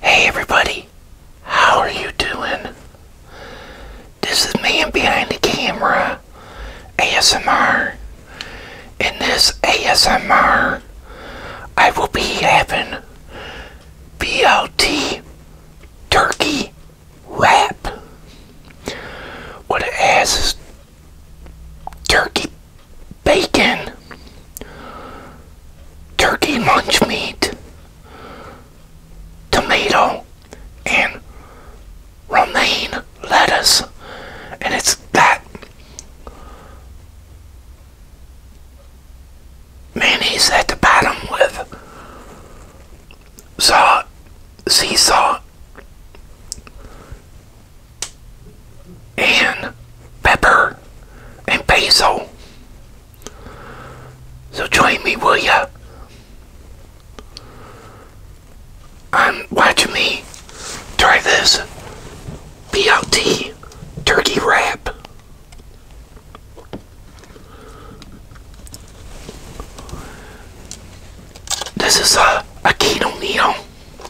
Hey everybody, how are you doing? This is Man Behind the Camera ASMR. In this ASMR, I will be having BLT turkey wrap. What it ass is turkey bacon, turkey lunch meat, tomato, and romaine lettuce. And it's that mayonnaise at the bottom with saw sea salt and pepper and basil. So join me, will ya? I'm watching me try this BLT turkey wrap. This is a, a keto meal.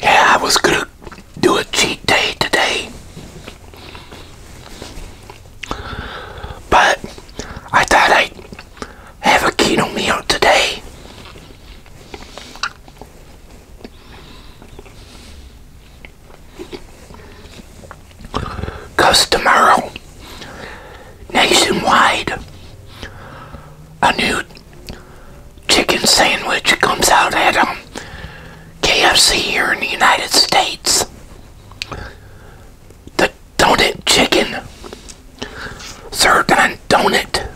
Yeah, I was gonna do a cheat day today, but I thought I'd have a keto meal today. Because tomorrow, nationwide, a new chicken sandwich comes out at um, KFC here in the United States donut chicken served on donut.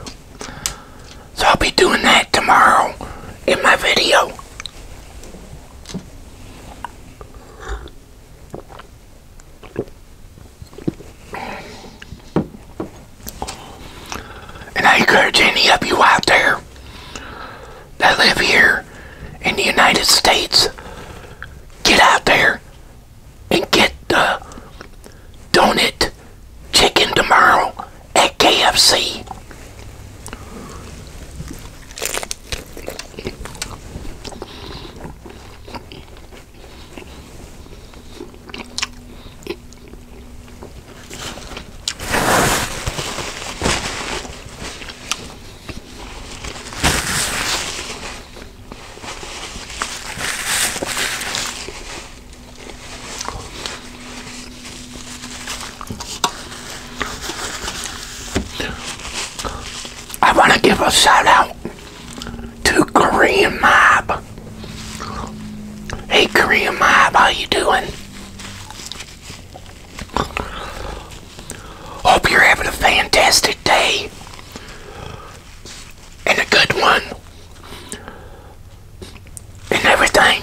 So I'll be doing that tomorrow in my video. And I encourage any of you out there that live here in the United States get out there and get the donut chicken tomorrow at KFC. I want to give a shout out to Korean Mob. Hey Korean Mob, how you doing? Hope you're having a fantastic day and a good one and everything.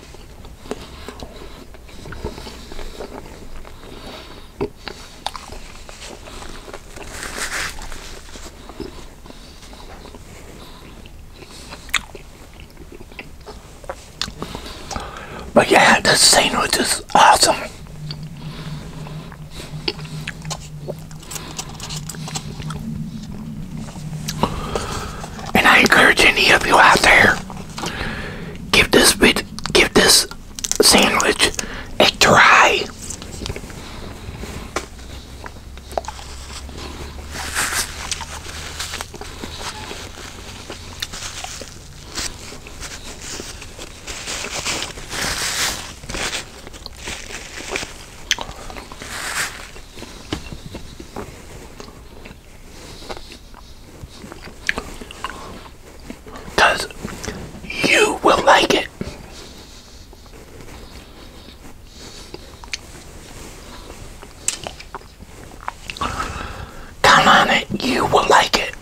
But yeah, this sandwich is awesome. And I encourage any of you out there, give this bit, give this sandwich a try. Because you will like it. Count on it, you will like it.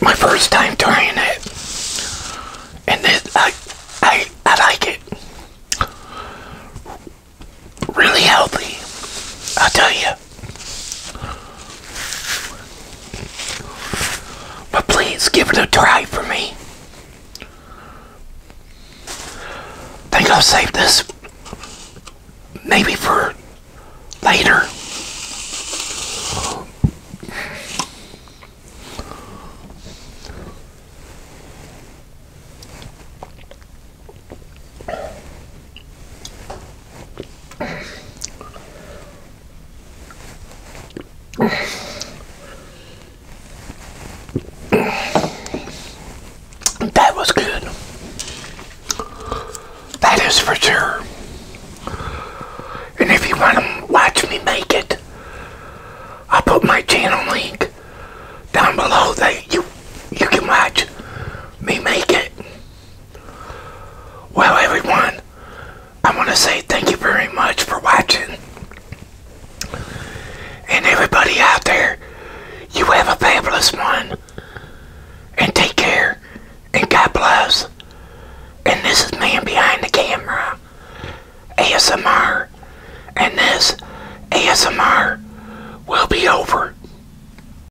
My first time trying it, and I, I, I like it. Really healthy, I'll tell you. But please give it a try for me. Think I'll save this maybe for later. That was good. That is for sure. And if you want to watch me make it, I'll put my channel link down below that you you can watch me make it. Well, everyone, I want to say thank you very much for watching. And everybody out there, you have a fabulous one. And take care. And God bless. And this is Man Behind the Camera, ASMR. And this ASMR will be over.